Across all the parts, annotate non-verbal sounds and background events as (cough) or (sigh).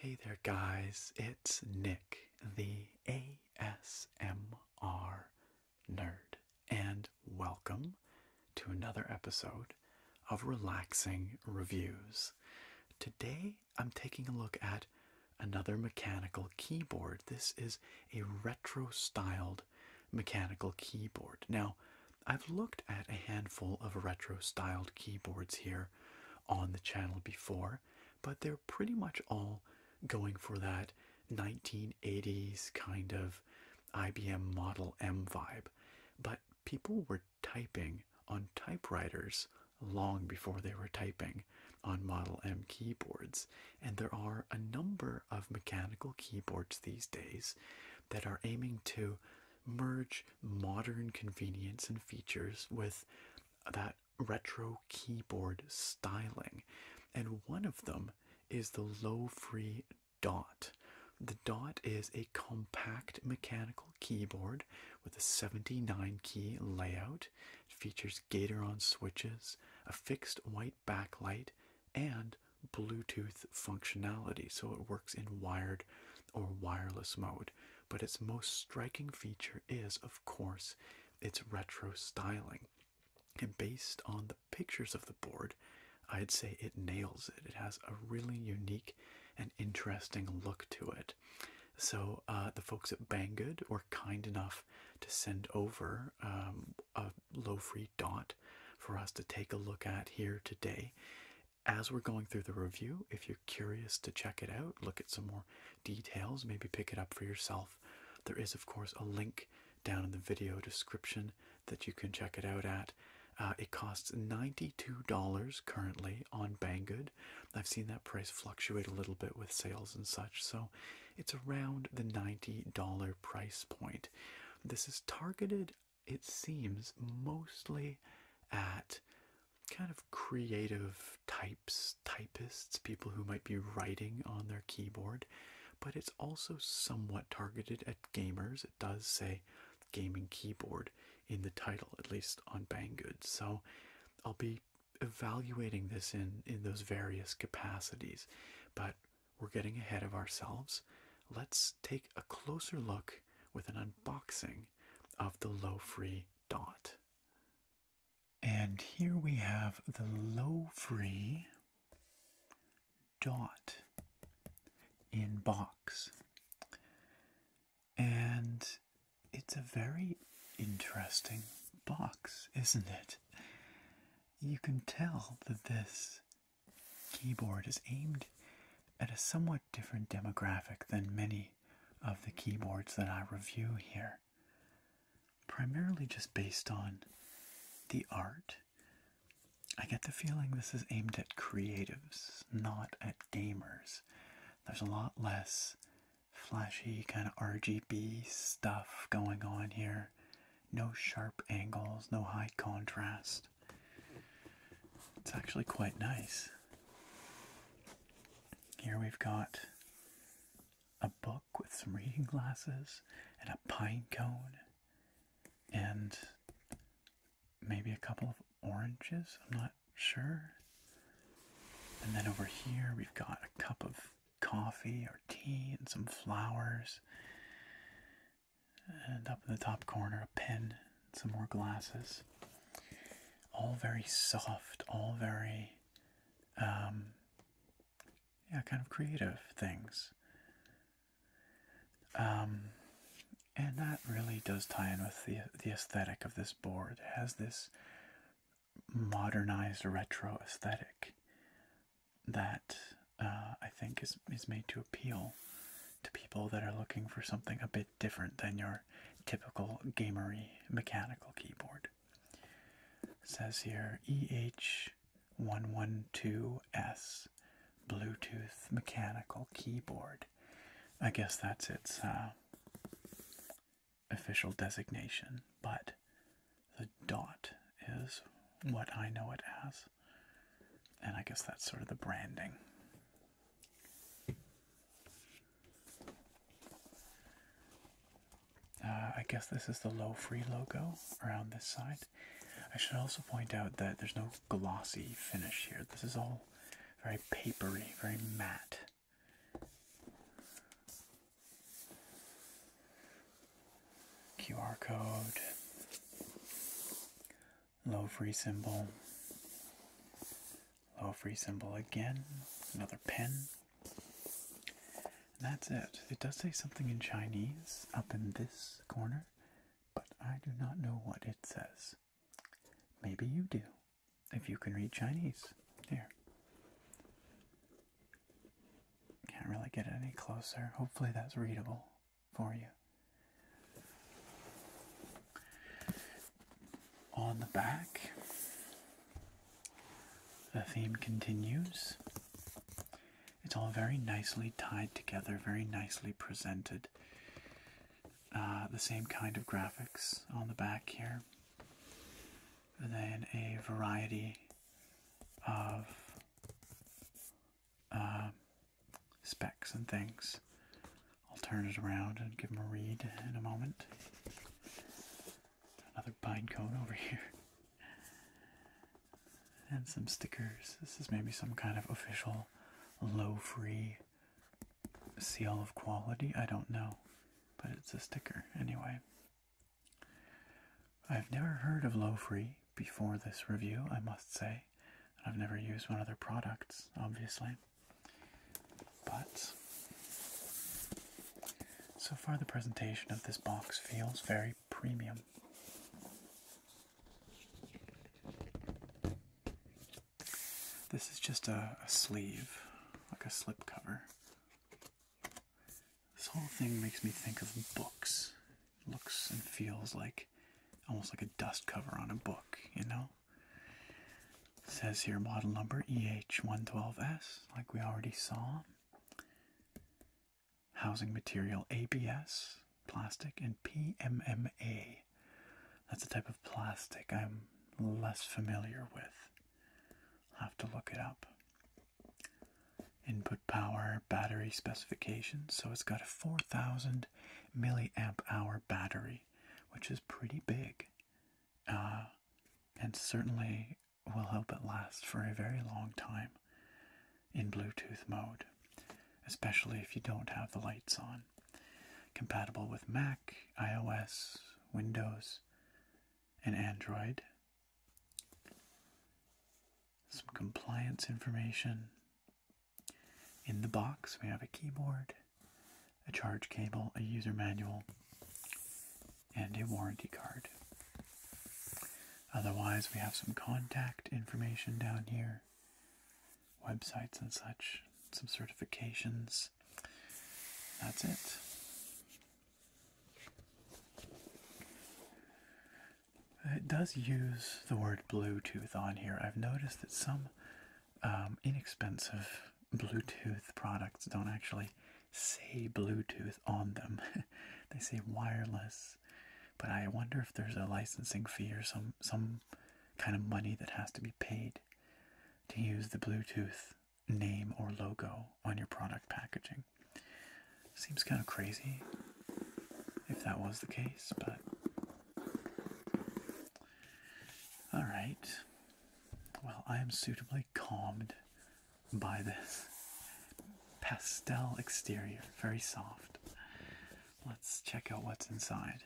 Hey there, guys. It's Nick, the ASMR nerd, and welcome to another episode of Relaxing Reviews. Today I'm taking a look at another mechanical keyboard. This is a retro styled mechanical keyboard. Now, I've looked at a handful of retro styled keyboards here on the channel before, but they're pretty much all going for that 1980s kind of IBM Model M vibe. But people were typing on typewriters long before they were typing on Model M keyboards. And there are a number of mechanical keyboards these days that are aiming to merge modern convenience and features with that retro keyboard styling. And one of them is the low free dot. The dot is a compact mechanical keyboard with a 79 key layout. It features Gateron switches, a fixed white backlight, and Bluetooth functionality, so it works in wired or wireless mode. But its most striking feature is, of course, its retro styling. And based on the pictures of the board, I'd say it nails it. It has a really unique an interesting look to it. So uh, the folks at Banggood were kind enough to send over um, a low-free dot for us to take a look at here today. As we're going through the review, if you're curious to check it out, look at some more details, maybe pick it up for yourself. There is, of course, a link down in the video description that you can check it out at. Uh, it costs $92 currently on Banggood. I've seen that price fluctuate a little bit with sales and such, so it's around the $90 price point. This is targeted, it seems, mostly at kind of creative types, typists, people who might be writing on their keyboard, but it's also somewhat targeted at gamers. It does say gaming keyboard in the title, at least on Banggood. So I'll be evaluating this in, in those various capacities, but we're getting ahead of ourselves. Let's take a closer look with an unboxing of the low free dot. And here we have the low free dot in box. And it's a very interesting box, isn't it? You can tell that this keyboard is aimed at a somewhat different demographic than many of the keyboards that I review here, primarily just based on the art. I get the feeling this is aimed at creatives, not at gamers, there's a lot less flashy, kind of RGB stuff going on here. No sharp angles, no high contrast. It's actually quite nice. Here we've got a book with some reading glasses and a pine cone and maybe a couple of oranges. I'm not sure. And then over here, we've got a cup of coffee or tea and some flowers. And up in the top corner, a pen, some more glasses. All very soft, all very, um, yeah, kind of creative things. Um, and that really does tie in with the the aesthetic of this board. has this modernized retro aesthetic that uh, I think is is made to appeal to people that are looking for something a bit different than your typical gamery mechanical keyboard. says here EH112S Bluetooth mechanical keyboard. I guess that's its uh, official designation, but the dot is what I know it as. And I guess that's sort of the branding. Uh, I guess this is the low free logo around this side. I should also point out that there's no glossy finish here. This is all very papery, very matte. QR code, low free symbol, low free symbol again, another pen. that's it. It does say something in Chinese up in this corner, but I do not know what it says. Maybe you do, if you can read Chinese. Here. Can't really get any closer. Hopefully, that's readable for you. On the back, the theme continues. It's all very nicely tied together, very nicely presented. Uh, the same kind of graphics on the back here. And then a variety of um, specs and things. I'll turn it around and give them a read in a moment. Another pine cone over here. And some stickers. This is maybe some kind of official low free seal of quality. I don't know, but it's a sticker anyway. I've never heard of Low Free before this review, I must say. I've never used one of their products, obviously. But so far, the presentation of this box feels very premium. This is just a, sleeve, like a slip cover. This whole thing makes me think of books. looks and feels like almost like a dust cover on a book, you know? says here model number EH112S, like we already saw. Housing material ABS, plastic, and PMMA. That's a type of plastic I'm less familiar with. I'll have to look it up. Input power, battery specifications. So it's got a 4000 milliamp hour battery, which is pretty big. Uh, and certainly will help it last for a very long time in Bluetooth mode, especially if you don't have the lights on. Compatible with Mac, iOS, Windows, and Android. Some compliance information. In the box, we have a keyboard, a charge cable, a user manual, and a warranty card. Otherwise, we have some contact information down here websites and such, some certifications. That's it. It does use the word Bluetooth on here. I've noticed that some um, inexpensive Bluetooth products don't actually say Bluetooth on them, (laughs) they say wireless. But I wonder if there's a licensing fee or some some kind of money that has to be paid to use the Bluetooth name or logo on your product packaging. Seems kind of crazy if that was the case, but. Alright. Well, I am suitably calmed by this (laughs) pastel exterior, very soft. Let's check out what's inside.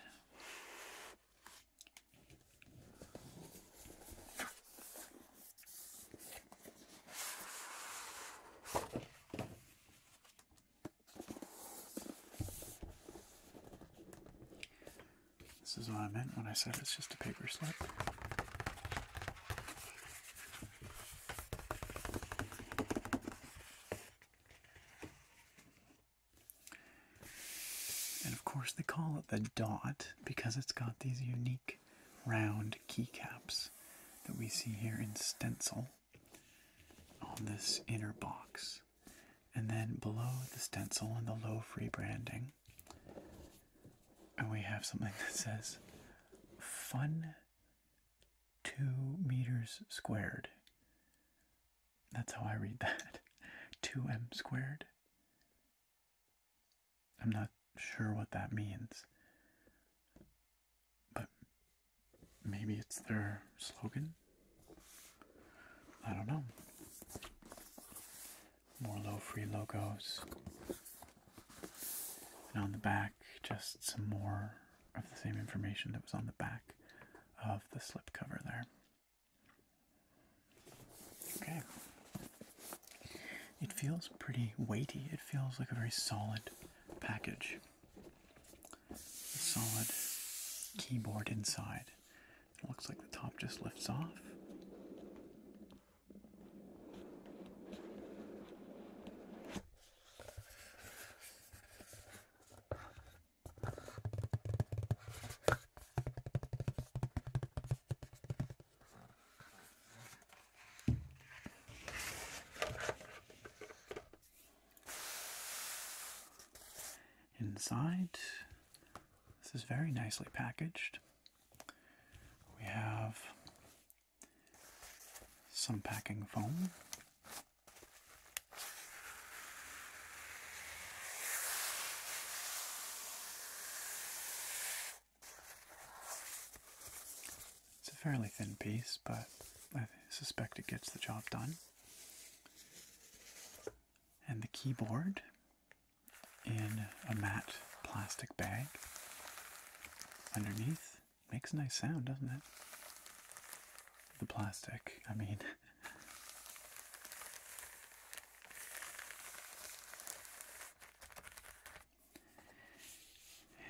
This is what I meant when I said it's just a paper slip. And of course, they call it the dot because it's got these unique round keycaps that we see here in stencil on this inner box. And then below the stencil and the low free branding, and we have something that says fun two meters squared. That's how I read that. 2m (laughs) squared. I'm not sure what that means. But maybe it's their slogan? I don't know. More low free logos. And on the back, just some more of the same information that was on the back of the slipcover there. Okay. It feels pretty weighty. It feels like a very solid package. solid keyboard inside. It looks like the top just lifts off. Inside, this is very nicely packaged. We have some packing foam it's a fairly thin piece, but I suspect it gets the job done. And the keyboard in a matte plastic bag underneath makes a nice sound, doesn't it? The plastic, I mean, (laughs)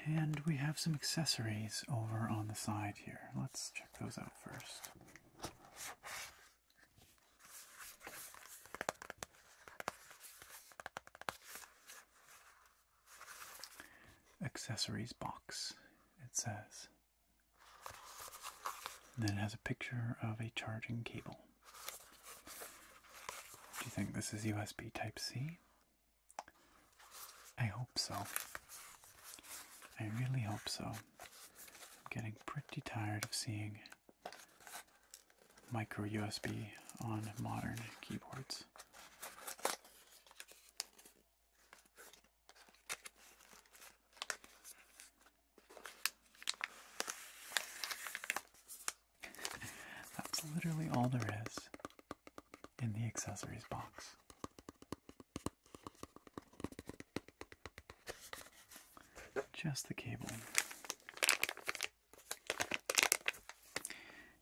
And we have some accessories over on the side here. Let's check those out first. Accessories box, it says. And then it has a picture of a charging cable. Do you think this is USB Type C? I hope so. I really hope so. I'm getting pretty tired of seeing micro USB on modern keyboards. That's literally all there is in the accessories box. Just the cable.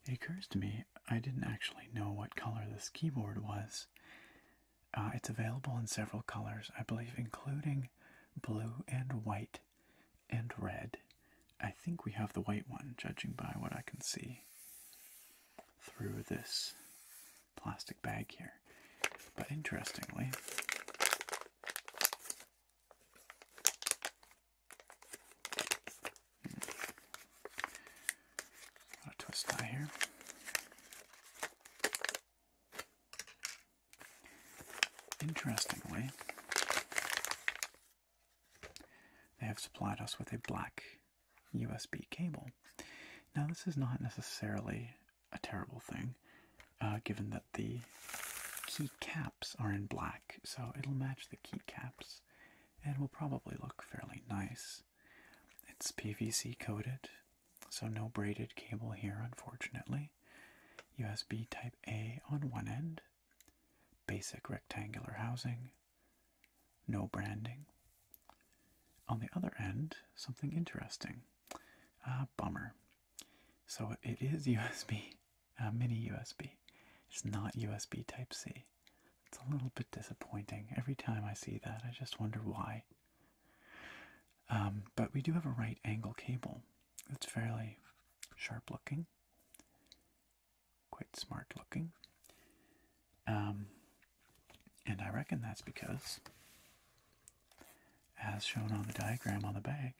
It occurs to me I didn't actually know what color this keyboard was uh, it's available in several colors, I believe, including blue and white and red. I think we have the white one, judging by what I can see through this plastic bag here. But interestingly, hmm. twist tie here. Interestingly, they have supplied us with a black USB cable. Now, this is not necessarily a terrible thing, uh, given that the key caps are in black, so it'll match the key caps and will probably look fairly nice. It's PVC coated, so no braided cable here, unfortunately. USB Type A on one end, basic rectangular housing, no branding. On the other end, something interesting. Uh, bummer. So it is USB, (laughs) a mini USB. It's not USB Type C. It's a little bit disappointing. Every time I see that, I just wonder why. Um, but we do have a right angle cable It's fairly sharp looking, quite smart looking. Um, and I reckon that's because, as shown on the diagram on the bag,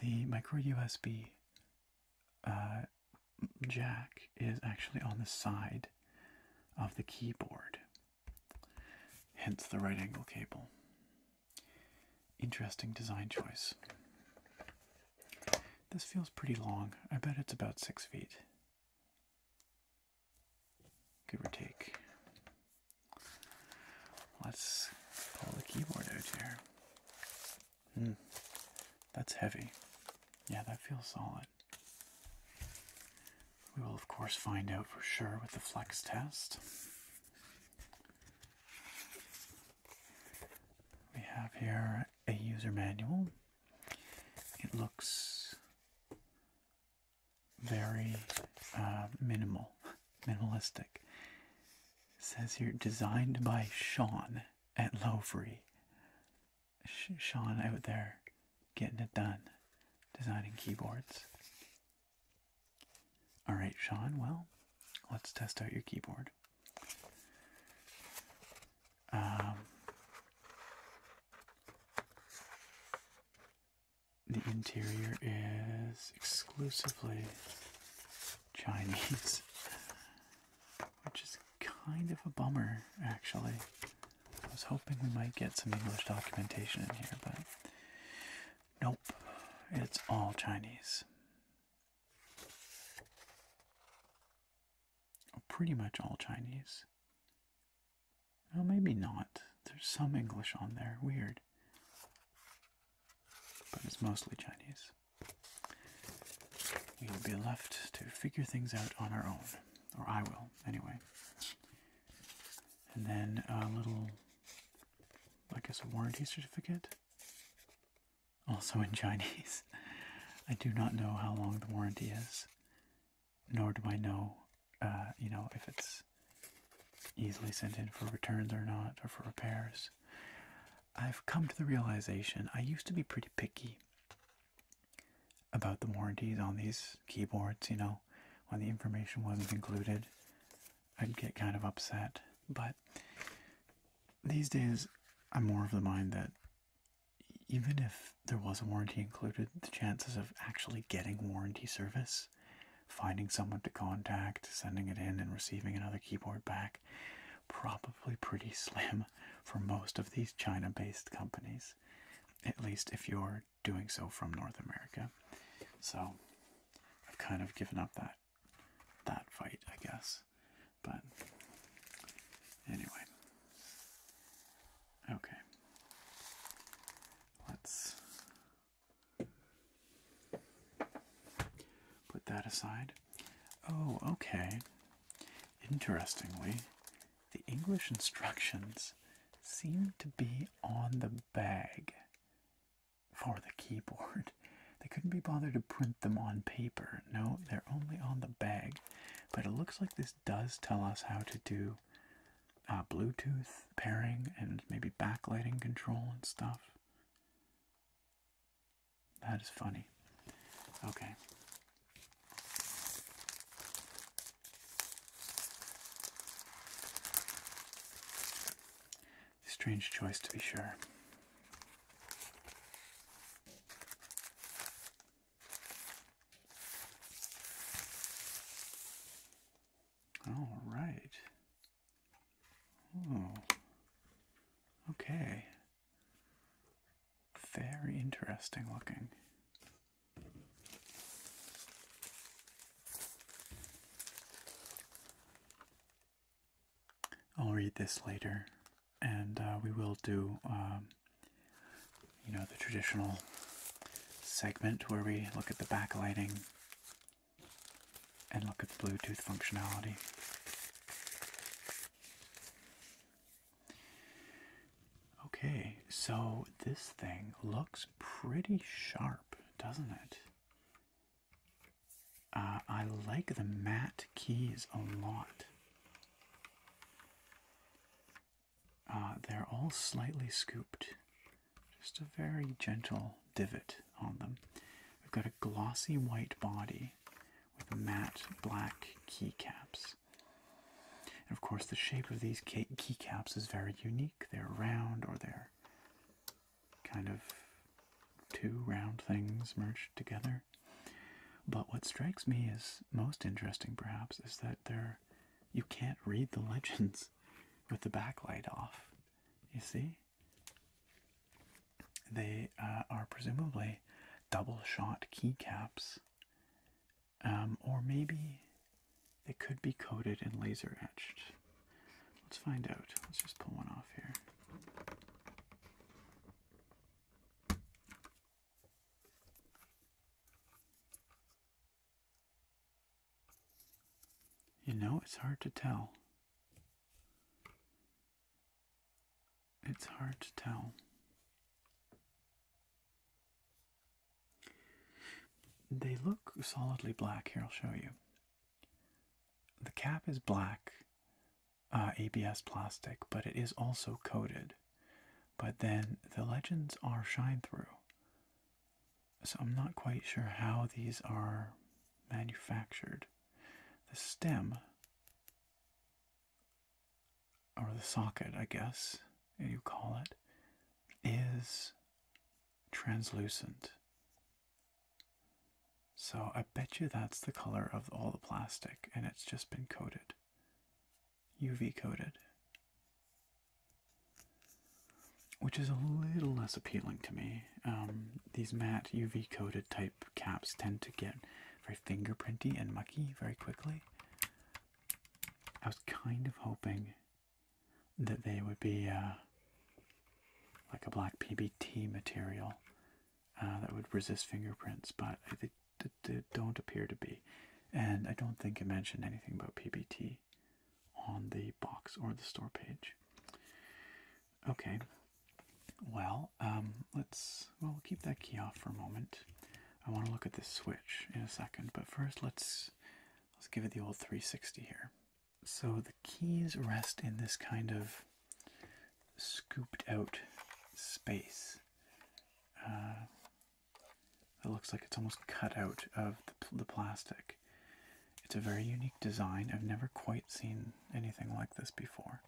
the micro USB uh, jack is actually on the side of the keyboard hence the right angle cable. Interesting design choice. This feels pretty long. I bet it's about six feet, give or take. Let's pull the keyboard out here. Hmm, that's heavy. Yeah, that feels solid. We will, of course, find out for sure with the flex test. We have here a user manual. It looks very uh, minimal, minimalistic. It says here, designed by Sean at Lowfree. Sh Sean out there getting it done, designing keyboards. All right, Sean, well, let's test out your keyboard. Um, the interior is exclusively Chinese, (laughs) which is kind of a bummer, actually. I was hoping we might get some English documentation in here, but nope, it's all Chinese. Oh, pretty much all Chinese. Well, maybe not. There's some English on there. Weird. But it's mostly Chinese. We will be left to figure things out on our own. Or I will, anyway and then a little, I guess, a warranty certificate. Also in Chinese. (laughs) I do not know how long the warranty is, nor do I know, uh, you know, if it's easily sent in for returns or not, or for repairs. I've come to the realization I used to be pretty picky about the warranties on these keyboards, you know, when the information wasn't included, I'd get kind of upset. But these days, I'm more of the mind that even if there was a warranty included, the chances of actually getting warranty service, finding someone to contact, sending it in, and receiving another keyboard back, probably pretty (laughs) slim for most of these China based companies. At least if you're doing so from North America. So I've kind of given up that that fight, I guess. But anyway. Okay. Let's put that aside. Oh, okay. Interestingly, the English instructions seem to be on the bag for the keyboard. (laughs) They couldn't be bothered to print them on paper. No, they're only on the bag. But it looks like this does tell us how to do uh, Bluetooth pairing and maybe backlighting control and stuff. That is funny. Okay. Strange choice, to be sure. All right. Oh. Okay. Very interesting looking. I'll read this later, and uh, we will do, um, you know, the traditional segment where we look at the backlighting and look at the Bluetooth functionality. Okay, so this thing looks pretty sharp, doesn't it? Uh, I like the matte keys a lot. Uh, they're all slightly scooped, just a very gentle divot on them. We've got a glossy white body with matte black keycaps. And of course, the shape of these keycaps is very unique. They're round or they're kind of two round things merged together. But what strikes me as most interesting, perhaps, is that they're, you can't read the (laughs) legends with the backlight off. You see? They uh, are presumably double shot keycaps um, or maybe they could be coated and laser etched. Let's find out. Let's just pull one off here. You know, it's hard to tell. It's hard to tell. They look solidly black. Here, I'll show you. The cap is black uh, ABS plastic, but it is also coated. But then the legends are shine through. So I'm not quite sure how these are manufactured. The stem, or the socket, I guess you call it, is translucent. So I bet you that's the color of all the plastic and it's just been coated. UV coated. Which is a little less appealing to me. Um, these matte UV coated type caps tend to get very fingerprinty and mucky very quickly. I was kind of hoping that they would be uh, like a black PBT material uh, that would resist fingerprints, but they, don't appear to be. And I don't think it mentioned anything about PBT on the box or the store page. Okay, well, um, let's well we'll keep that key off for a moment. I want to look at this switch in a second, but first let's Let's give it the old 360 here. So the keys rest in this kind of scooped out space. Uh, it looks like it's almost cut out of the, plastic. It's a very unique design. I've never quite seen anything like this before.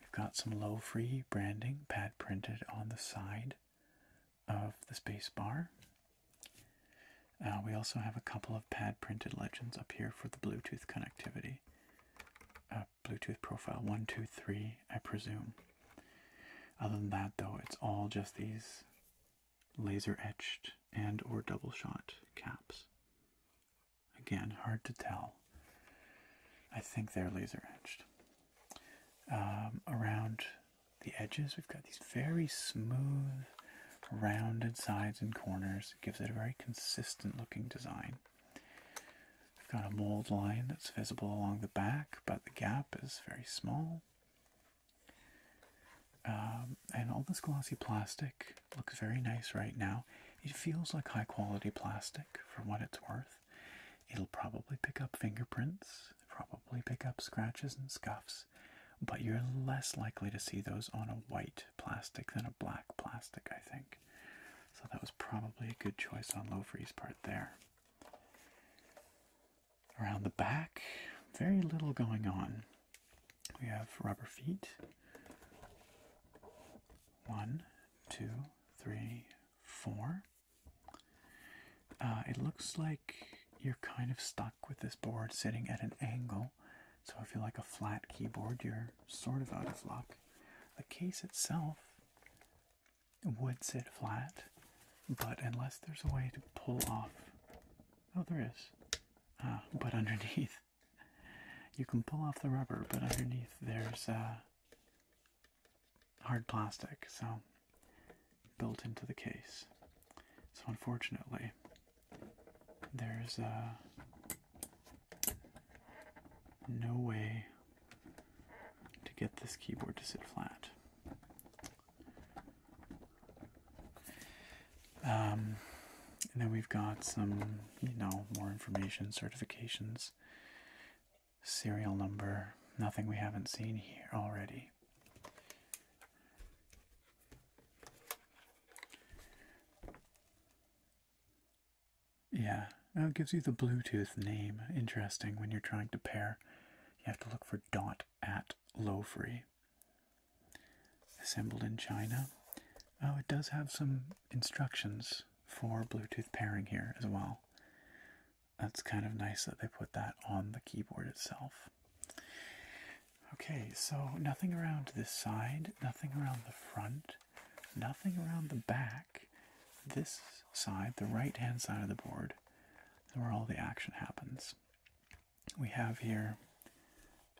We've got some low free branding pad printed on the side of the space bar. Uh, we also have a couple of pad printed legends up here for the Bluetooth connectivity. Uh, Bluetooth profile 123, I presume. Other than that, though, it's all just these laser etched and or double shot caps. Again, hard to tell. I think they're laser etched. Um, around the edges. We've got these very smooth, rounded sides and corners. gives it a very consistent looking design. We've got a mold line that's visible along the back, but the gap is very small. Um, and all this glossy plastic looks very nice right now. It feels like high quality plastic for what it's worth. It'll probably pick up fingerprints probably pick up scratches and scuffs, but you're less likely to see those on a white plastic than a black plastic, I think. So that was probably a good choice on Lowfree's part there. Around the back, very little going on. We have rubber feet. One, two, three, four. Uh, it looks like you're kind of stuck with this board sitting at an angle. So if you like a flat keyboard, you're sort of out of luck. The case itself would sit flat, but unless there's a way to pull off, oh, there is. Ah, but underneath, you can pull off the rubber, but underneath there's uh, hard plastic. So built into the case. So unfortunately, there's uh, no way to get this keyboard to sit flat. Um, and then we've got some, you know, more information, certifications, serial number, nothing we haven't seen here already. Yeah, it gives you the Bluetooth name. Interesting when you're trying to pair. You have to look for dot at Lowfree. Assembled in China. Oh, it does have some instructions for Bluetooth pairing here as well that's kind of nice that they put that on the keyboard itself. Okay, so nothing around this side, nothing around the front, nothing around the back. This side, the right hand side of the board, is where all the action happens. We have here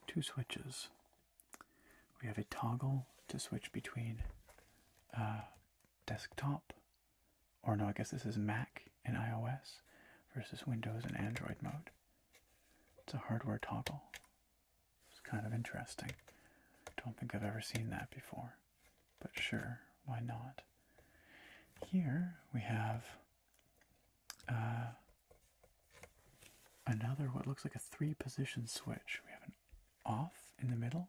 two switches. We have a toggle to switch between uh, desktop or no, I guess this is Mac and iOS versus Windows and Android mode. It's a hardware toggle. It's kind of interesting. Don't think I've ever seen that before. But sure, why not? Here we have uh, another what looks like a three position switch. We have an off in the middle,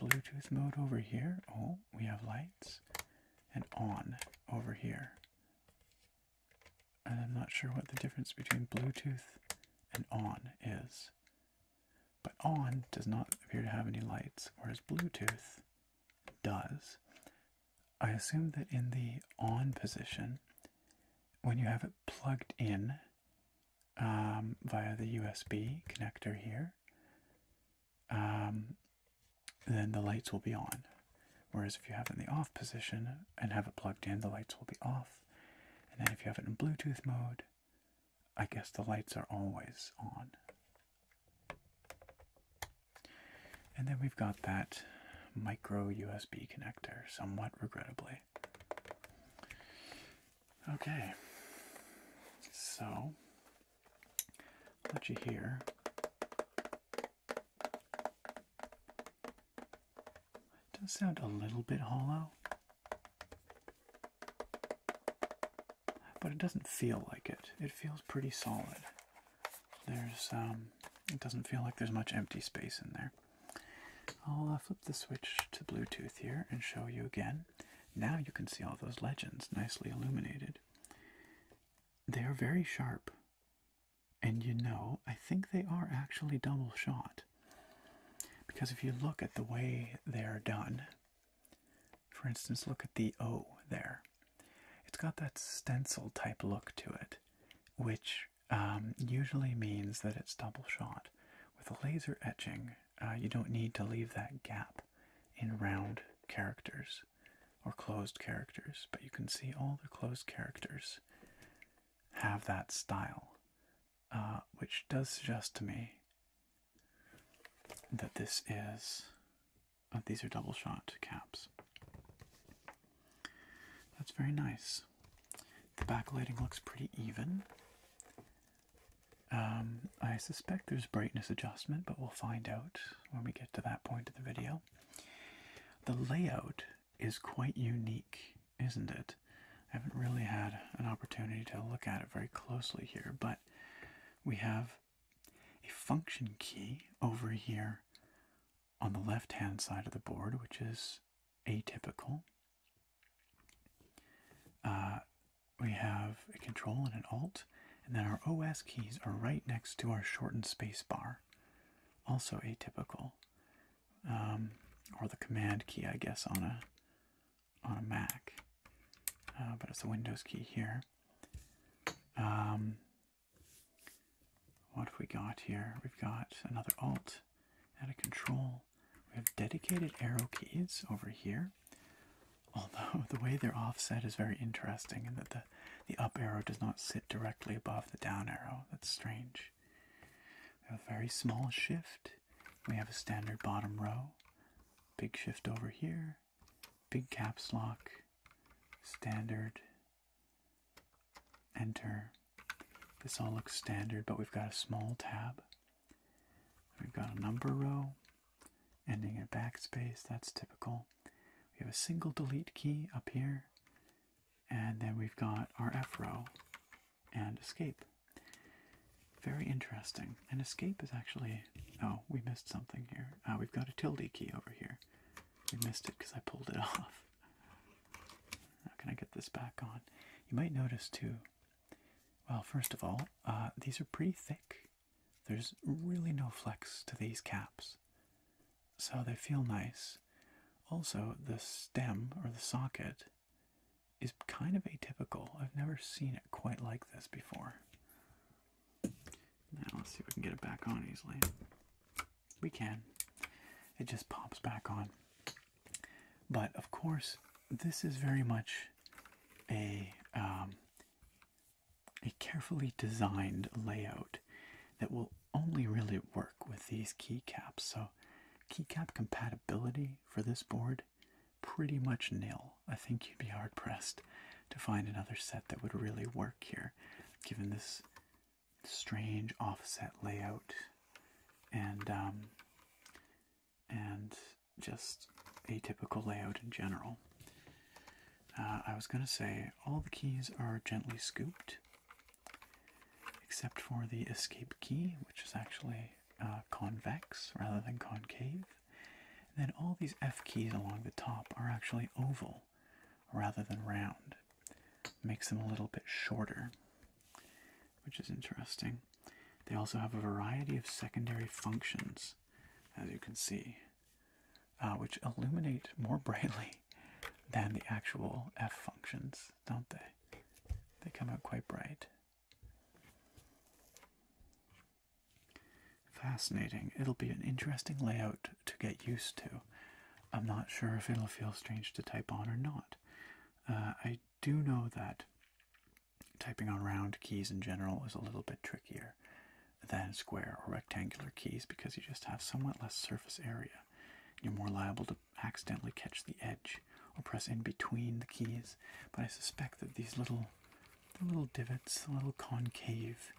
Bluetooth mode over here. Oh, we have lights and on over here. And I'm not sure what the difference between Bluetooth and on is. But on does not appear to have any lights, whereas Bluetooth does. I assume that in the on position, when you have it plugged in um, via the USB connector here, um, then the lights will be on. Whereas if you have it in the off position and have it plugged in, the lights will be off. And then if you have it in Bluetooth mode, I guess the lights are always on. And then we've got that micro USB connector, somewhat regrettably. Okay, so I'll let you hear. It does sound a little bit hollow, but it doesn't feel like it. It feels pretty solid. There's, um, it doesn't feel like there's much empty space in there. I'll uh, flip the switch to Bluetooth here and show you again. Now you can see all those legends nicely illuminated. They are very sharp. And you know, I think they are actually double shot. Because if you look at the way they're done, for instance, look at the O there. It's got that stencil type look to it, which um, usually means that it's double shot. With a laser etching, uh, you don't need to leave that gap in round characters or closed characters, but you can see all the closed characters have that style, uh, which does suggest to me that this is. Uh, these are double shot caps. That's very nice. The back lighting looks pretty even. Um, I suspect there's brightness adjustment, but we'll find out when we get to that point of the video. The layout is quite unique, isn't it? I haven't really had an opportunity to look at it very closely here, but we have a function key over here on the left hand side of the board, which is atypical. Uh, we have a control and an alt and then our OS keys are right next to our shortened space bar. Also atypical. Um, or the command key, I guess, on a on a Mac, uh, but it's a Windows key here. Um, what have we got here? We've got another Alt and a Control. We have dedicated arrow keys over here. Although the way they're offset is very interesting in that the, the up arrow does not sit directly above the down arrow. That's strange. We have a very small shift. We have a standard bottom row. Big shift over here. Big caps lock. Standard. Enter. This all looks standard, but we've got a small tab. We've got a number row, ending in backspace, that's typical we have a single delete key up here, and then we've got our F row and escape. Very interesting. And escape is actually. Oh, we missed something here. Uh, we've got a tilde key over here. We missed it because I pulled it (laughs) off. How can I get this back on? You might notice too. Well, first of all, uh, these are pretty thick. There's really no flex to these caps, so they feel nice. Also, the stem or the socket is kind of atypical. I've never seen it quite like this before. Now, let's see if we can get it back on easily. We can. It just pops back on. But of course, this is very much a um, a carefully designed layout that will only really work with these keycaps. So keycap compatibility for this board pretty much nil. I think you'd be hard pressed to find another set that would really work here given this strange offset layout and um, and just atypical layout in general. Uh, I was going to say all the keys are gently scooped, except for the escape key, which is actually uh, convex rather than concave. then all these F keys along the top are actually oval rather than round. Makes them a little bit shorter, which is interesting. They also have a variety of secondary functions, as you can see. Uh, which illuminate more brightly than the actual f functions, don't they? They come out quite bright. Fascinating. It'll be an interesting layout to get used to. I'm not sure if it'll feel strange to type on or not. Uh, I do know that typing on round keys in general is a little bit trickier than square or rectangular keys because you just have somewhat less surface area. You're more liable to accidentally catch the edge or press in between the keys. But I suspect that these little, little divots, the little concave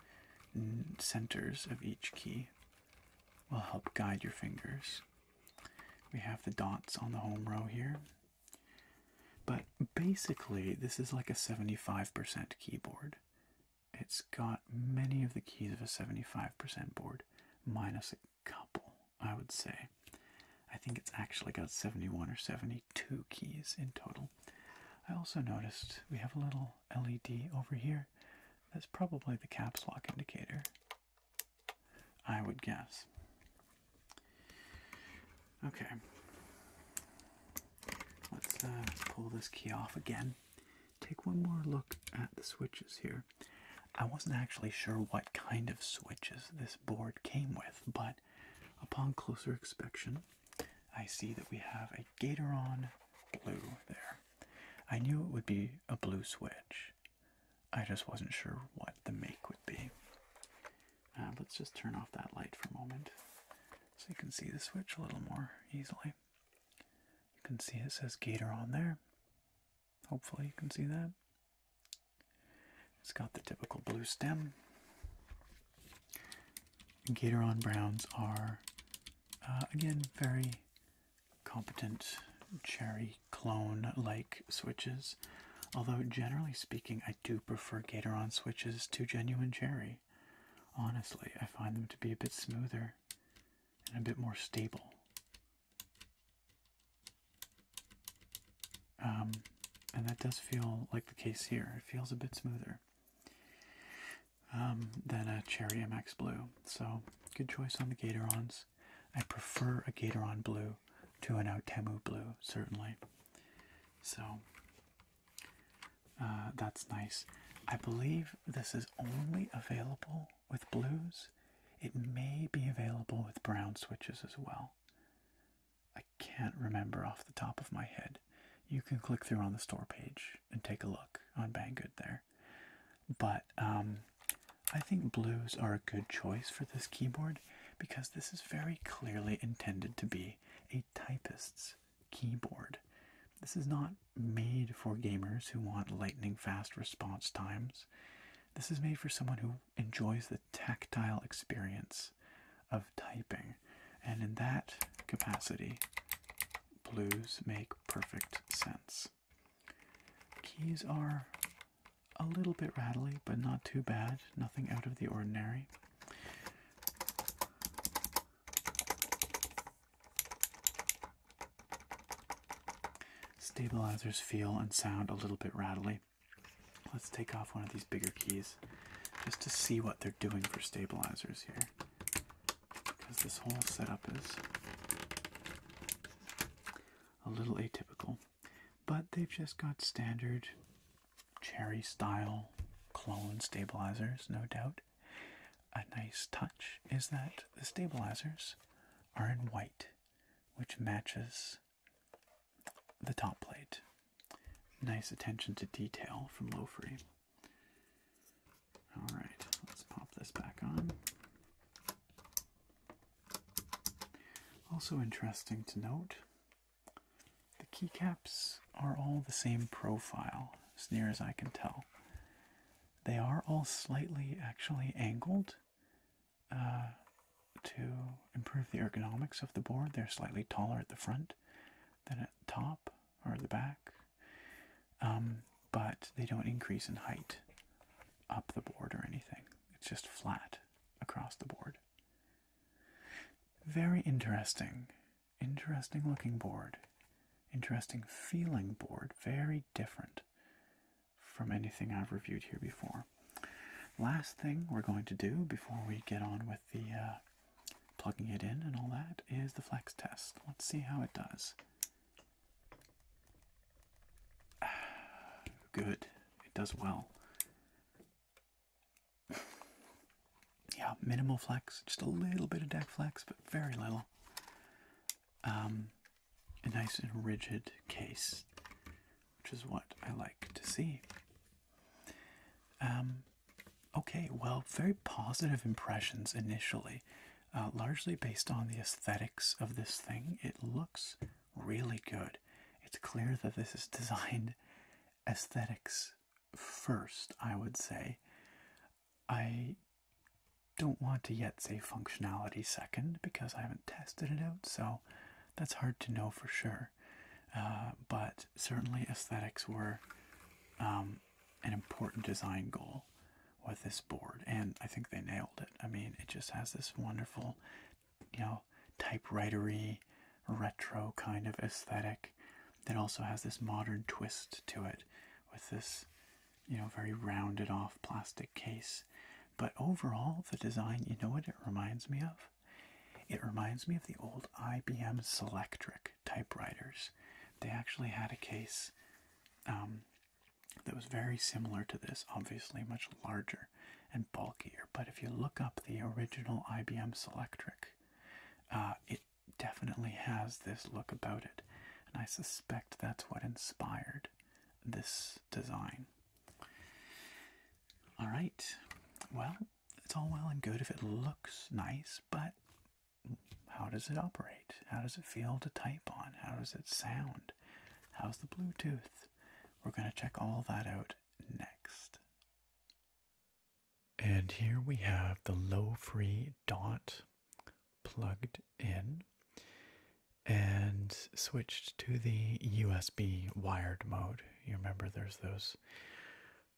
centers of each key will help guide your fingers. We have the dots on the home row here. But basically, this is like a 75% keyboard it's got many of the keys of a 75% board, minus a couple, I would say. I think it's actually got 71 or 72 keys in total. I also noticed we have a little LED over here. That's probably the caps lock indicator, I would guess. Okay. Uh, let's, pull this key off again. Take one more look at the switches here. I wasn't actually sure what kind of switches this board came with, but upon closer inspection, I see that we have a Gatoron blue there. I knew it would be a blue switch. I just wasn't sure what the make would be. Uh, let's just turn off that light for a moment so you can see the switch a little more easily. You can see it says Gator on there. Hopefully, you can see that. It's got the typical blue stem. Gatoron browns are, uh, again, very competent cherry clone like switches. Although, generally speaking, I do prefer Gatoron switches to genuine cherry. Honestly, I find them to be a bit smoother and a bit more stable. Um, and that does feel like the case here. It feels a bit smoother um, than a Cherry MX Blue. So, good choice on the Gatorons. I prefer a Gatoron Blue to an Outemu Blue, certainly. So, uh, that's nice. I believe this is only available with blues. It may be available with brown switches as well. I can't remember off the top of my head. You can click through on the store page and take a look on Banggood there. But um, I think blues are a good choice for this keyboard because this is very clearly intended to be a typist's keyboard. This is not made for gamers who want lightning fast response times. This is made for someone who enjoys the tactile experience of typing. And in that capacity, blues make perfect sense. Keys are a little bit rattly, but not too bad. Nothing out of the ordinary. Stabilizers feel and sound a little bit rattly. Let's take off one of these bigger keys just to see what they're doing for stabilizers here. Because this whole setup is a little atypical. But they've just got standard cherry style clone stabilizers, no doubt. A nice touch is that the stabilizers are in white, which matches the top plate. Nice attention to detail from Lowfree. Alright, let's pop this back on. Also interesting to note the keycaps are all the same profile, as near as I can tell. They are all slightly actually angled uh, to improve the ergonomics of the board. They're slightly taller at the front than at the top or the back, um, but they don't increase in height up the board or anything. It's just flat across the board. Very interesting. Interesting looking board. Interesting feeling board. Very different from anything I've reviewed here before. Last thing we're going to do before we get on with the uh, plugging it in and all that is the flex test. Let's see how it does. (sighs) Good, it does well yeah, minimal flex, just a little bit of deck flex, but very little. Um, a nice and rigid case, which is what I like to see. Um, okay, well, very positive impressions initially, uh, largely based on the aesthetics of this thing. It looks really good. It's clear that this is (laughs) designed aesthetics first, I would say. I don't want to yet say functionality second because I haven't tested it out, so that's hard to know for sure. Uh, but certainly, aesthetics were um, an important design goal with this board, and I think they nailed it. I mean, it just has this wonderful, you know, typewritery, retro kind of aesthetic that also has this modern twist to it with this you know very rounded off plastic case but overall the design you know what it reminds me of it reminds me of the old IBM Selectric typewriters they actually had a case um, that was very similar to this obviously much larger and bulkier but if you look up the original IBM Selectric it uh, definitely has this look about it, and I suspect that's what inspired this design. All right, well, it's all well and good if it looks nice, but how does it operate? How does it feel to type on? How does it sound? How's the Bluetooth? We're going to check all that out next. And here we have the low free dot plugged in and switched to the USB wired mode. You remember there's those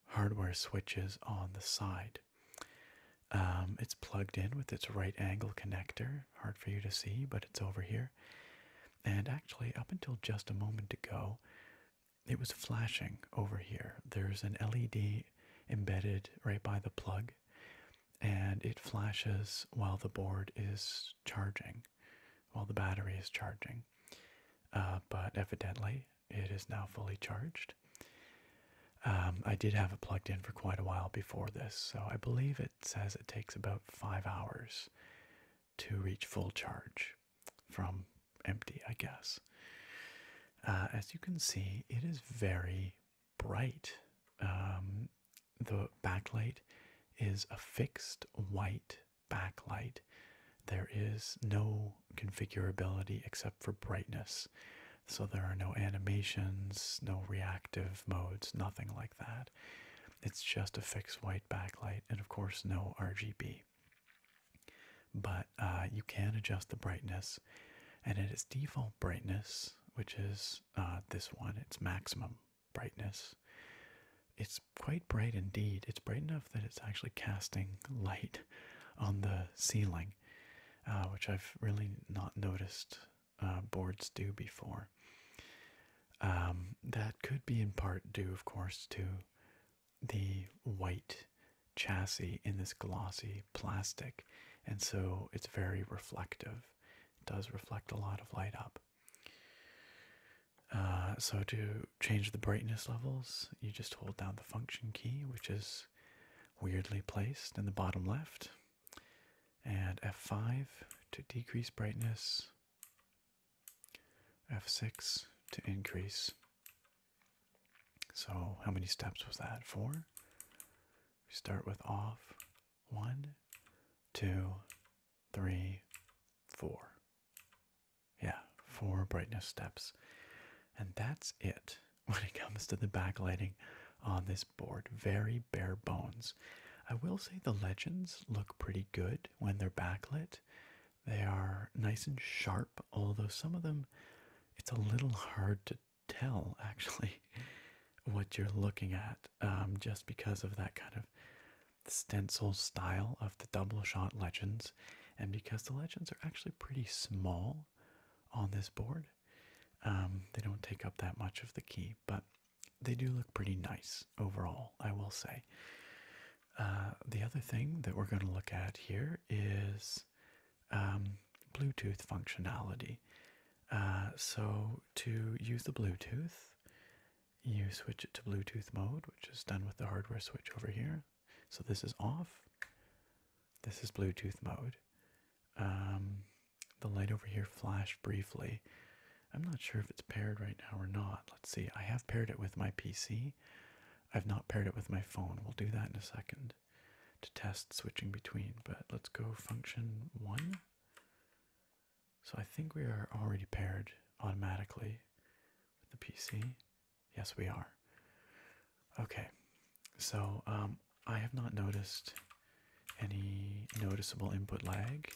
hardware switches on the side. Um, it's plugged in with its right angle connector. Hard for you to see, but it's over here. And actually, up until just a moment ago, it was flashing over here. There's an LED embedded right by the plug, and it flashes while the board is charging, while the battery is charging. Uh, but evidently, it is now fully charged. Um, I did have it plugged in for quite a while before this, so I believe it says it takes about five hours to reach full charge from empty, I guess. Uh, as you can see, it is very bright. Um, the backlight is a fixed white backlight. There is no configurability except for brightness. So there are no animations, no reactive modes, nothing like that. It's just a fixed white backlight and, of course, no RGB but uh, you can adjust the brightness and at its default brightness which is uh, this one its maximum brightness it's quite bright indeed it's bright enough that it's actually casting light on the ceiling uh, which i've really not noticed boards do before um, that could be in part due of course to the white chassis in this glossy plastic, and so it's very reflective. does reflect a lot of light up. Uh, so to change the brightness levels, you just hold down the function key, which is weirdly placed in the bottom left, and F5 to decrease brightness, F6 to increase. So, how many steps was that? Four? We start with off. One, two, three, four. Yeah, four brightness steps. And that's it (laughs) when it comes to the backlighting on this board. Very bare bones. I will say the legends look pretty good when they're backlit. They are nice and sharp although some of them it's a little hard to tell (laughs) actually what you're looking at um, just because of that kind of stencil style of the double shot legends and because the legends are actually pretty small on this board um, they don't take up that much of the key but they do look pretty nice overall i will say uh, the other thing that we're going to look at here is um, Bluetooth functionality. Uh, so to use the Bluetooth, you switch it to Bluetooth mode, which is done with the hardware switch over here. So this is off. This is Bluetooth mode. Um, the light over here flashed briefly. I'm not sure if it's paired right now or not. Let's see. I have paired it with my PC. I've not paired it with my phone. We'll do that in a second to test switching between, but let's go function one. So I think we are already paired automatically with the PC. Yes, we are. Okay, so um, I have not noticed any noticeable input lag.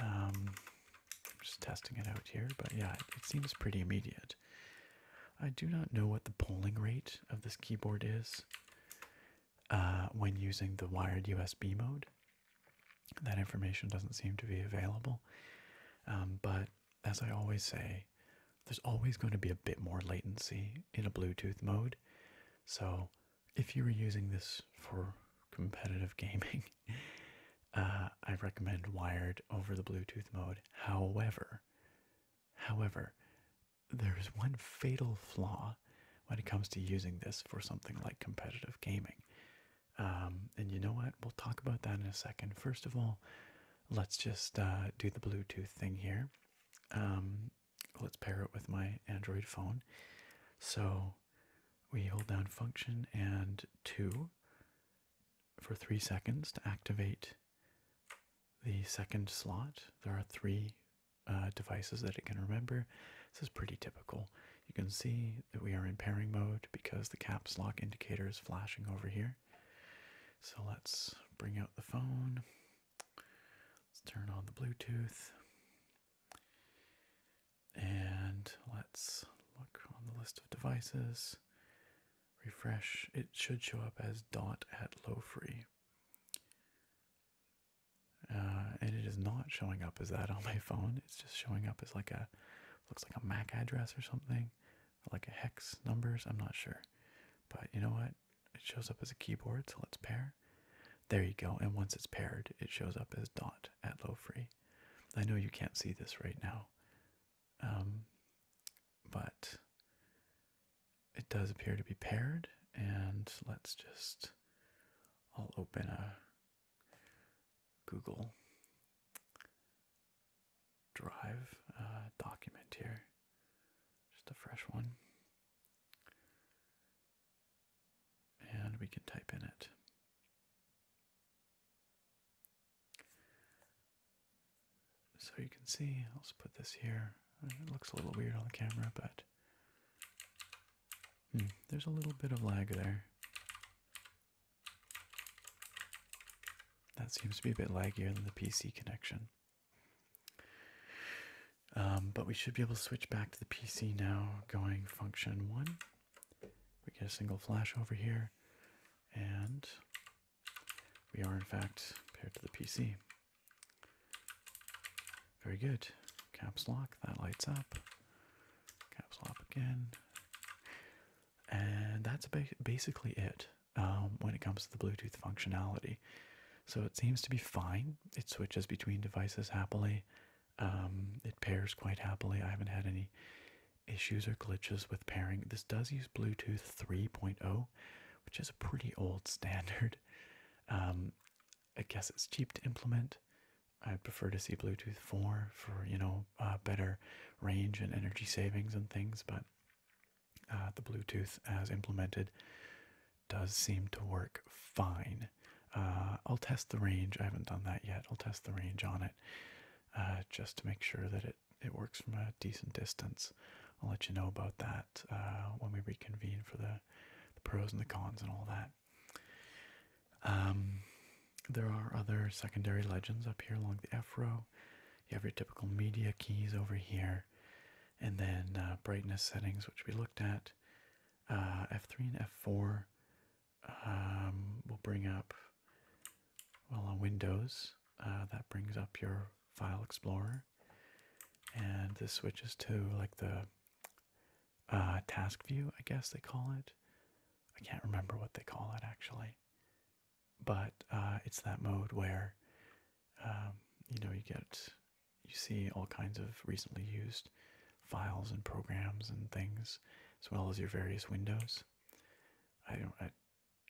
Um, I'm just testing it out here, but yeah, it seems pretty immediate. I do not know what the polling rate of this keyboard is uh, when using the wired USB mode. That information doesn't seem to be available. Um, but as I always say, there's always going to be a bit more latency in a Bluetooth mode. So if you were using this for competitive (laughs) gaming, uh, I recommend wired over the Bluetooth mode. However, However, there is one fatal flaw when it comes to using this for something like competitive gaming. Um, and you know what? We'll talk about that in a second. First of all, let's just uh, do the Bluetooth thing here. Um, let's pair it with my Android phone. So we hold down function and 2 for 3 seconds to activate the second slot, there are three uh, devices that it can remember. This is pretty typical. You can see that we are in pairing mode because the caps lock indicator is flashing over here. So let's bring out the phone. Let's turn on the Bluetooth. And let's look on the list of devices refresh, it should show up as dot at low free. Uh, and it is not showing up as that on my phone. It's just showing up as like a looks like a MAC address or something, like a hex numbers. I'm not sure, but you know what? It shows up as a keyboard, so let's pair. There you go. And once it's paired, it shows up as dot at low free. I know you can't see this right now, um, but it does appear to be paired. And let's just, I'll open a Google Drive uh, document here, just a fresh one. And we can type in it. So you can see, I'll just put this here. It looks a little weird on the camera, but hmm, there's a little bit of lag there. That seems to be a bit laggier than the PC connection. Um, but we should be able to switch back to the PC now, going function one. We get a single flash over here, and we are, in fact, paired to the PC. Very good. Caps lock, that lights up. Caps lock again. And that's basically it um, when it comes to the Bluetooth functionality. So it seems to be fine. It switches between devices happily. Um, it pairs quite happily. I haven't had any issues or glitches with pairing. This does use Bluetooth 3.0, which is a pretty old (laughs) standard. Um, I guess it's cheap to implement. I'd prefer to see Bluetooth 4 for you know uh, better range and energy savings and things, but uh, the Bluetooth as implemented does seem to work fine. Uh, I'll test the range. I haven't done that yet. I'll test the range on it just to make sure that it it works from a decent distance. I'll let you know about that uh, when we reconvene for the, pros and the cons and all that. Um, there are other secondary legends up here along the F row. You have your typical media keys over here, and then uh, brightness settings, which we looked at. Uh, F3 and F4 um, will bring up, well, on Windows, that brings up your File Explorer, and this switches to like the uh, task view, I guess they call it. I can't remember what they call it actually, but uh, it's that mode where um, you know you get you see all kinds of recently used files and programs and things, as well as your various windows. I don't. I,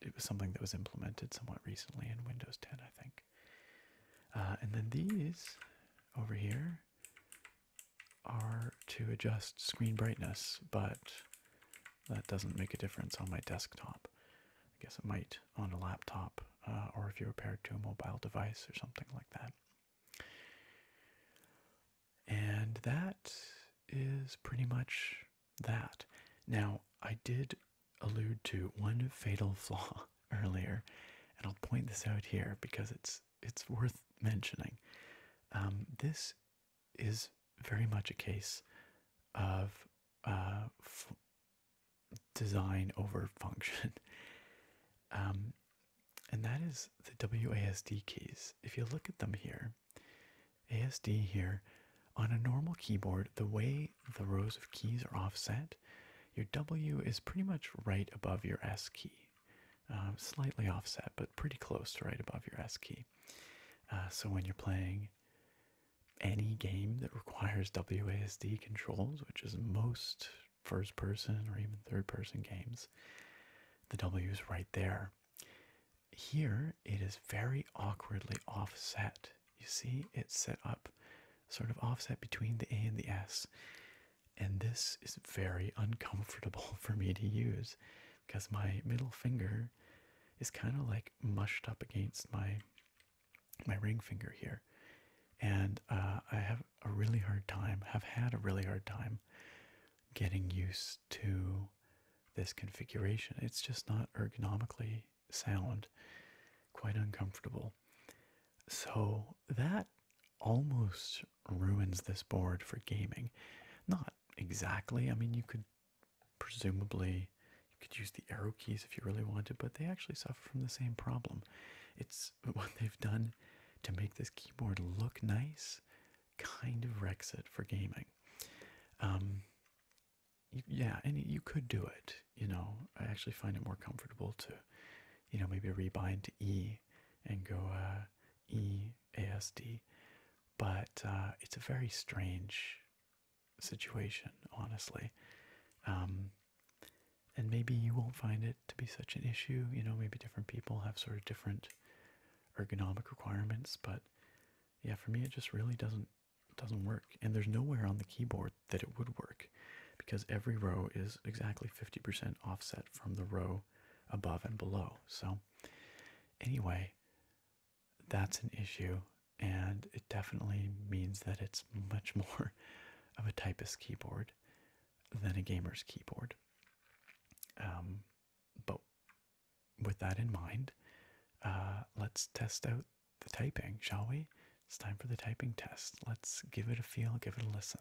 it was something that was implemented somewhat recently in Windows 10, I think. Uh, and then these over here are to adjust screen brightness, but that doesn't make a difference on my desktop. I guess it might on a laptop uh, or if you're paired to a mobile device or something like that. And that is pretty much that. Now, I did allude to one fatal (laughs) flaw earlier, and I'll point this out here because it's it's worth mentioning. Um, this is very much a case of uh, design over function. (laughs) Um, and that is the WASD keys. If you look at them here, ASD here. On a normal keyboard, the way the rows of keys are offset, your W is pretty much right above your S key. Uh, slightly offset, but pretty close to right above your S key. Uh, so when you're playing any game that requires WASD controls, which is most first person or even third person games, the W is right there here it is very awkwardly offset. You see, it's set up sort of offset between the A and the S. And this is very uncomfortable (laughs) for me to use because my middle finger is kind of like mushed up against my my ring finger here. And uh, I have a really hard time, have had a really hard time getting used to this configuration. It's just not ergonomically sound, quite uncomfortable. So that almost ruins this board for gaming. Not exactly. I mean, you could presumably you could use the arrow keys if you really wanted, but they actually suffer from the same problem. It's (laughs) what they've done to make this keyboard look nice kind of wrecks it for gaming. Um, yeah, and you could do it. You know, I actually find it more comfortable to, you know, maybe rebind to E and go uh, E A S D. But uh, it's a very strange situation, honestly. Um, and maybe you won't find it to be such an issue. You know, maybe different people have sort of different ergonomic requirements. But yeah, for me, it just really doesn't it doesn't work. And there's nowhere on the keyboard that it would work because every row is exactly 50% offset from the row above and below. So, anyway, that's an issue. And it definitely means that it's much (laughs) more of a typist keyboard than a gamer's keyboard. Um, but with that in mind, uh, let's test out the typing, shall we? It's time for the typing test. Let's give it a feel, give it a listen.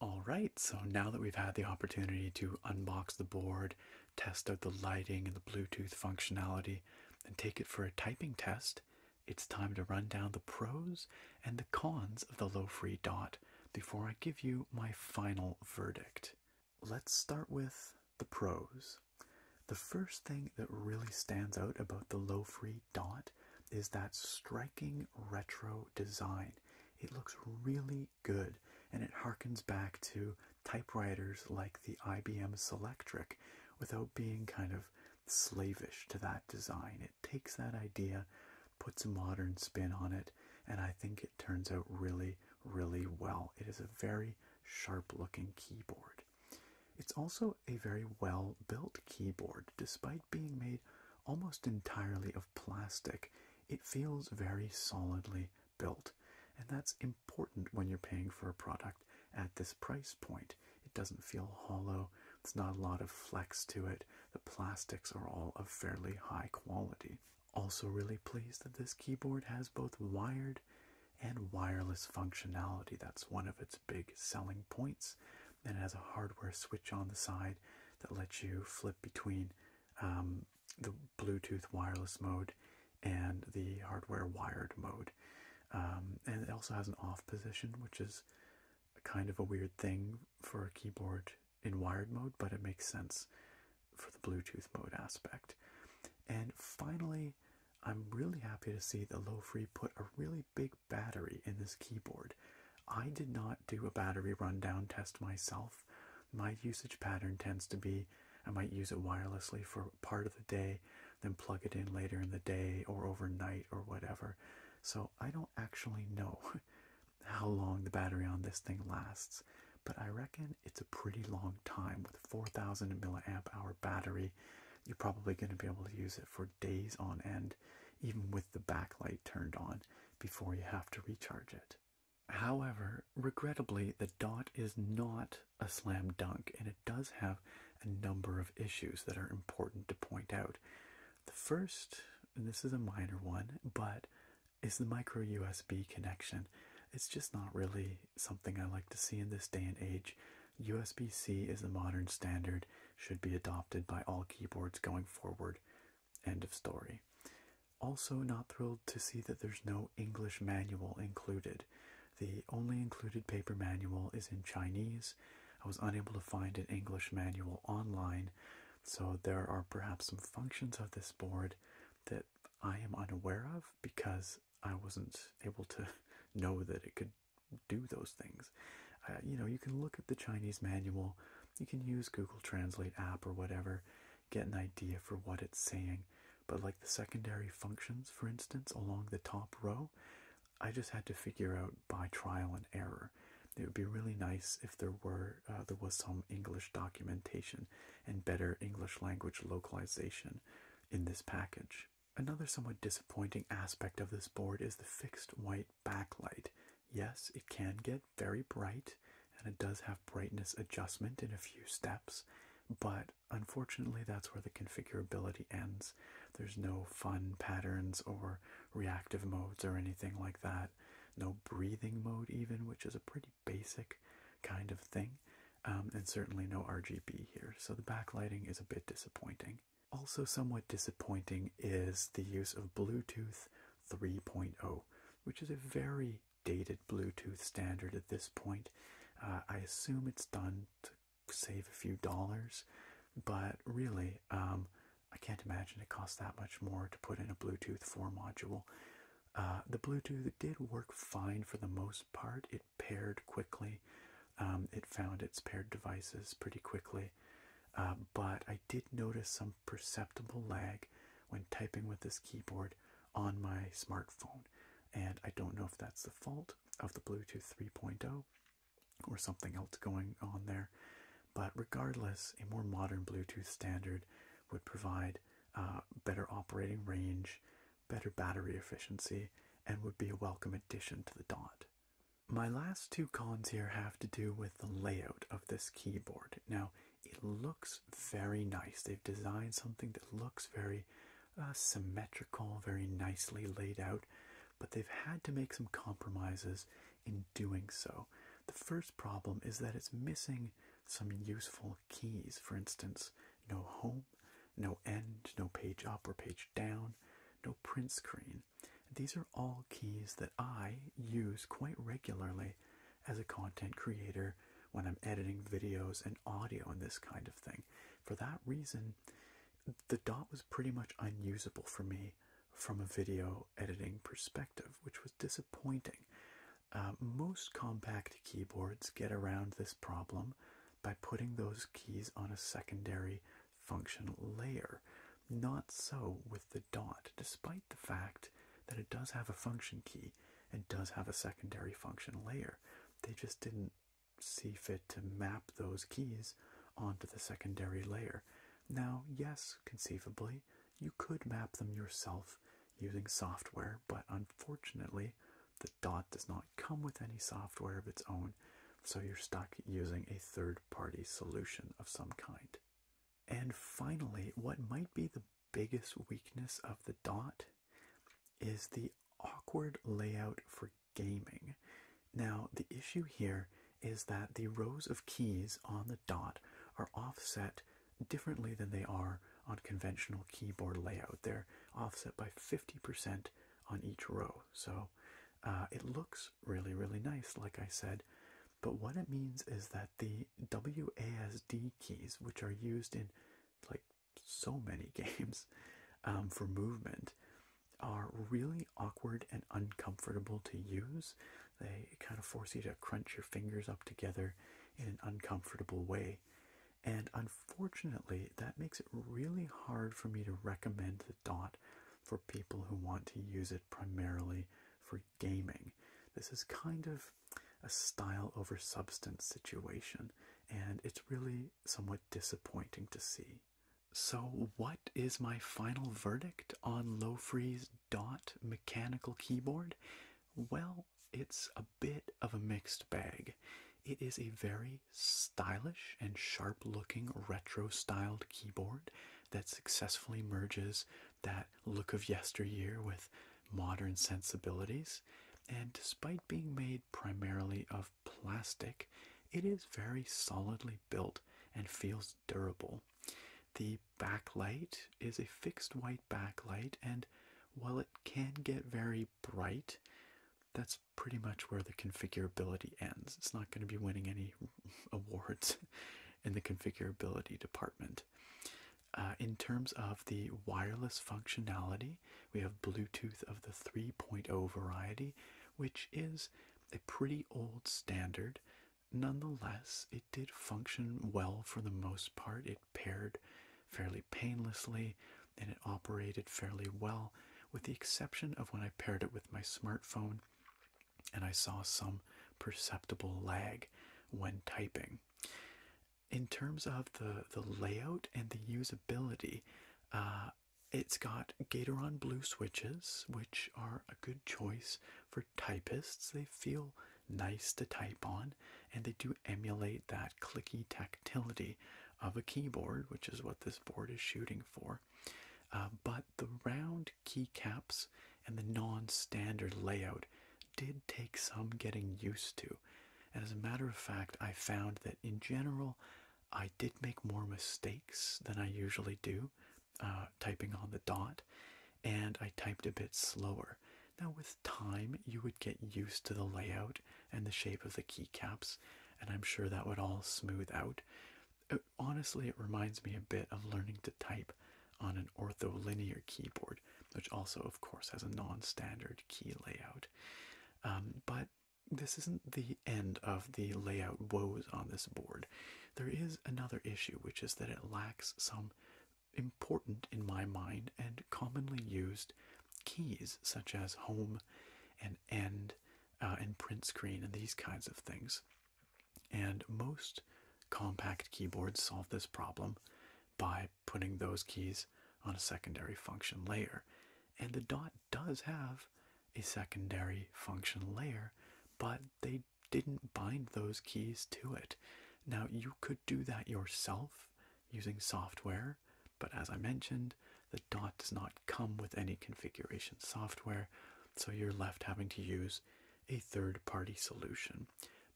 All right, so now that we've had the opportunity to unbox the board, test out the lighting and the Bluetooth functionality, and take it for a typing test, it's time to run down the pros and the cons of the low free dot before I give you my final verdict. Let's start with the pros. The first thing that really stands out about the low free dot is that striking retro design. It looks really good, and it harkens back to typewriters like the IBM Selectric without being kind of slavish to that design. It takes that idea, puts a modern spin on it, and I think it turns out really, really well. It is a very sharp looking keyboard. It's also a very well built keyboard, despite being made almost entirely of plastic it feels very solidly built. And that's important when you're paying for a product at this price point. It doesn't feel hollow, It's not a lot of flex to it. The plastics are all of fairly high quality. Also, really pleased that this keyboard has both wired and wireless functionality. That's one of its big selling points. And it has a hardware switch on the side that lets you flip between um, the Bluetooth wireless mode and the hardware wired mode. Um, and it also has an off position, which is kind of a weird thing for a keyboard in wired mode, but it makes sense for the Bluetooth mode aspect. And finally, I'm really happy to see that Low Free put a really big battery in this keyboard. I did not do a battery rundown test myself, my usage pattern tends to be I might use it wirelessly for part of the day, then plug it in later in the day or overnight or whatever. So I don't actually know (laughs) how long the battery on this thing lasts, but I reckon it's a pretty long time with 4000 milliamp hour battery. You're probably going to be able to use it for days on end, even with the backlight turned on, before you have to recharge it. However, regrettably, the dot is not a slam dunk and it does have a number of issues that are important to point out. The first, and this is a minor one, but is the micro USB connection. It's just not really something I like to see in this day and age. USB C is the modern standard, should be adopted by all keyboards going forward. End of story. Also, not thrilled to see that there's no English manual included. The only included paper manual is in Chinese. I was unable to find an English manual online, so there are perhaps some functions of this board that I am unaware of because I wasn't able to (laughs) know that it could do those things. Uh, you know, you can look at the Chinese manual, you can use Google Translate app or whatever, get an idea for what it's saying. But like the secondary functions, for instance, along the top row, I just had to figure out by trial and error. It would be really nice if there were uh, there was some English documentation and better English language localization in this package. Another somewhat disappointing aspect of this board is the fixed white backlight Yes, it can get very bright and it does have brightness adjustment in a few steps, but unfortunately, that's where the configurability ends. There's no fun patterns or reactive modes or anything like that, no breathing mode, even, which is a pretty basic kind of thing, um, and certainly no RGB here. So the backlighting is a bit disappointing. Also, somewhat disappointing is the use of Bluetooth 3.0, which is a very dated Bluetooth standard at this point. Uh, I assume it's done to save a few dollars, but really, um, I can't imagine it costs that much more to put in a Bluetooth 4 module. Uh, the Bluetooth did work fine for the most part. It paired quickly. Um, it found its paired devices pretty quickly, uh, but did notice some perceptible lag when typing with this keyboard on my smartphone, and I don't know if that's the fault of the Bluetooth 3.0 or something else going on there. But regardless, a more modern Bluetooth standard would provide uh, better operating range, better battery efficiency, and would be a welcome addition to the Dot. My last two cons here have to do with the layout of this keyboard. Now, it looks very nice. They've designed something that looks very uh, symmetrical, very nicely laid out, but they've had to make some compromises in doing so. The first problem is that it's missing some useful keys. For instance, no home, no end, no page up or page down, no print screen. These are all keys that I use quite regularly as a content creator when I'm editing videos and audio and this kind of thing. For that reason, the dot was pretty much unusable for me from a video editing perspective, which was disappointing. Uh, most compact keyboards get around this problem by putting those keys on a secondary function layer. Not so with the dot, despite the fact that it does have a function key and does have a secondary function layer. They just didn't see fit to map those keys onto the secondary layer. Now, yes, conceivably, you could map them yourself using software, but unfortunately, the dot does not come with any software of its own, so you're stuck using a third party solution of some kind. And finally, what might be the biggest weakness of the dot is the awkward layout for gaming. Now, the issue here is that the rows of keys on the dot are offset differently than they are on conventional keyboard layout. They're offset by 50% on each row. So uh, it looks really, really nice, like I said. But what it means is that the WASD keys, which are used in like so many (laughs) games um, for movement, are really awkward and uncomfortable to use. They kind of force you to crunch your fingers up together in an uncomfortable way. And unfortunately, that makes it really hard for me to recommend the dot for people who want to use it primarily for gaming. This is kind of a style over substance situation, and it's really somewhat disappointing to see. So, what is my final verdict on Lowfree's Dot mechanical keyboard? Well, it's a bit of a mixed bag. It is a very stylish and sharp looking retro styled keyboard that successfully merges that look of yesteryear with modern sensibilities, and despite being made primarily of plastic, it is very solidly built and feels durable. The backlight is a fixed white backlight, and while it can get very bright, that's pretty much where the configurability ends. It's not going to be winning any (laughs) awards in the configurability department. Uh, in terms of the wireless functionality, we have Bluetooth of the 3.0 variety, which is a pretty old standard. Nonetheless, it did function well for the most part. It paired fairly painlessly and it operated fairly well, with the exception of when I paired it with my smartphone. And I saw some perceptible lag when typing. In terms of the, the layout and the usability, uh, it's got Gatoron Blue switches, which are a good choice for typists. They feel nice to type on, and they do emulate that clicky tactility of a keyboard, which is what this board is shooting for. Uh, but the round keycaps and the non standard layout did take some getting used to. And as a matter of fact, I found that in general, I did make more mistakes than I usually do, uh, typing on the dot, and I typed a bit slower. Now, with time, you would get used to the layout and the shape of the keycaps, and I'm sure that would all smooth out. Uh, honestly, it reminds me a bit of learning to type on an ortholinear keyboard, which also, of course, has a non standard key layout. Um, but this isn't the end of the layout woes on this board. There is another issue, which is that it lacks some important, in my mind, and commonly used keys, such as home and end uh, and print screen and these kinds of things. And most compact keyboards solve this problem by putting those keys on a secondary function layer. And the dot does have a secondary function layer, but they didn't bind those keys to it. Now, you could do that yourself using software, but as I mentioned, the dot does not come with any configuration software, so you're left having to use a third party solution.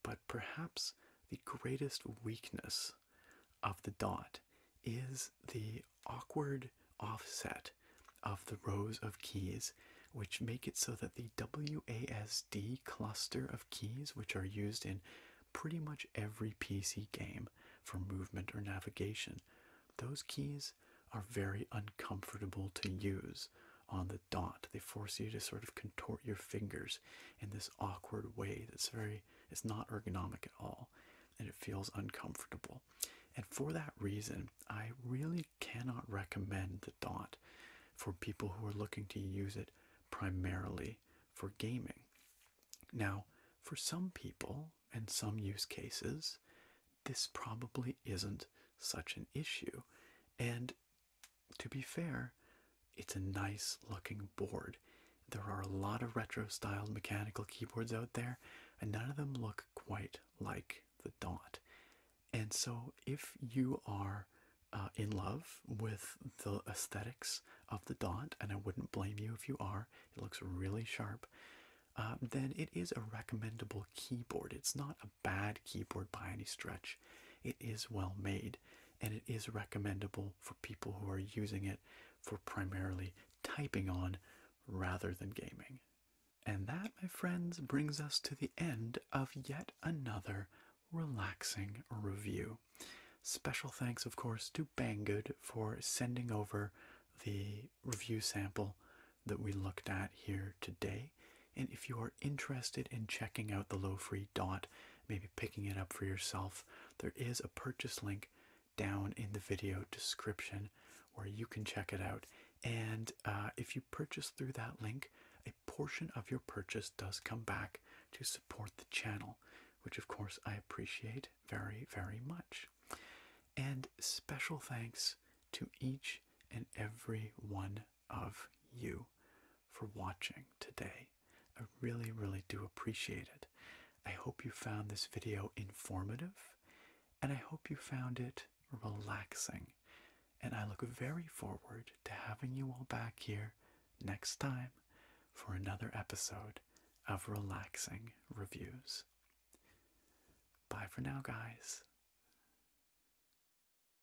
But perhaps the greatest weakness of the dot is the awkward offset of the rows of keys, which make it so that the WASD cluster of keys, which are used in pretty much every PC game for movement or navigation, those keys are very uncomfortable to use on the dot. They force you to sort of contort your fingers in this awkward way that's very, it's not ergonomic at all, and it feels uncomfortable. And for that reason, I really cannot recommend the dot for people who are looking to use it primarily for gaming. Now, for some people and some use cases, this probably isn't such an issue. And to be fair, it's a nice looking board. There are a lot of retro styled mechanical keyboards out there, and none of them look quite like the Dot. And so, if you are uh, in love with the aesthetics of the Dot, and I wouldn't blame you if you are, it looks really sharp, uh, then it is a recommendable keyboard. It's not a bad keyboard by any stretch. It is well made and it is recommendable for people who are using it for primarily typing on rather than gaming. And that, my friends, brings us to the end of yet another relaxing review. Special thanks, of course, to Banggood for sending over the review sample that we looked at here today. And if you are interested in checking out the low free dot, maybe picking it up for yourself, there is a purchase link down in the video description where you can check it out. And uh, if you purchase through that link, a portion of your purchase does come back to support the channel, which of course I appreciate very, very much. And special thanks to each and every one of you for watching today. I really, really do appreciate it. I hope you found this video informative and I hope you found it relaxing. And I look very forward to having you all back here next time for another episode of Relaxing Reviews. Bye for now, guys.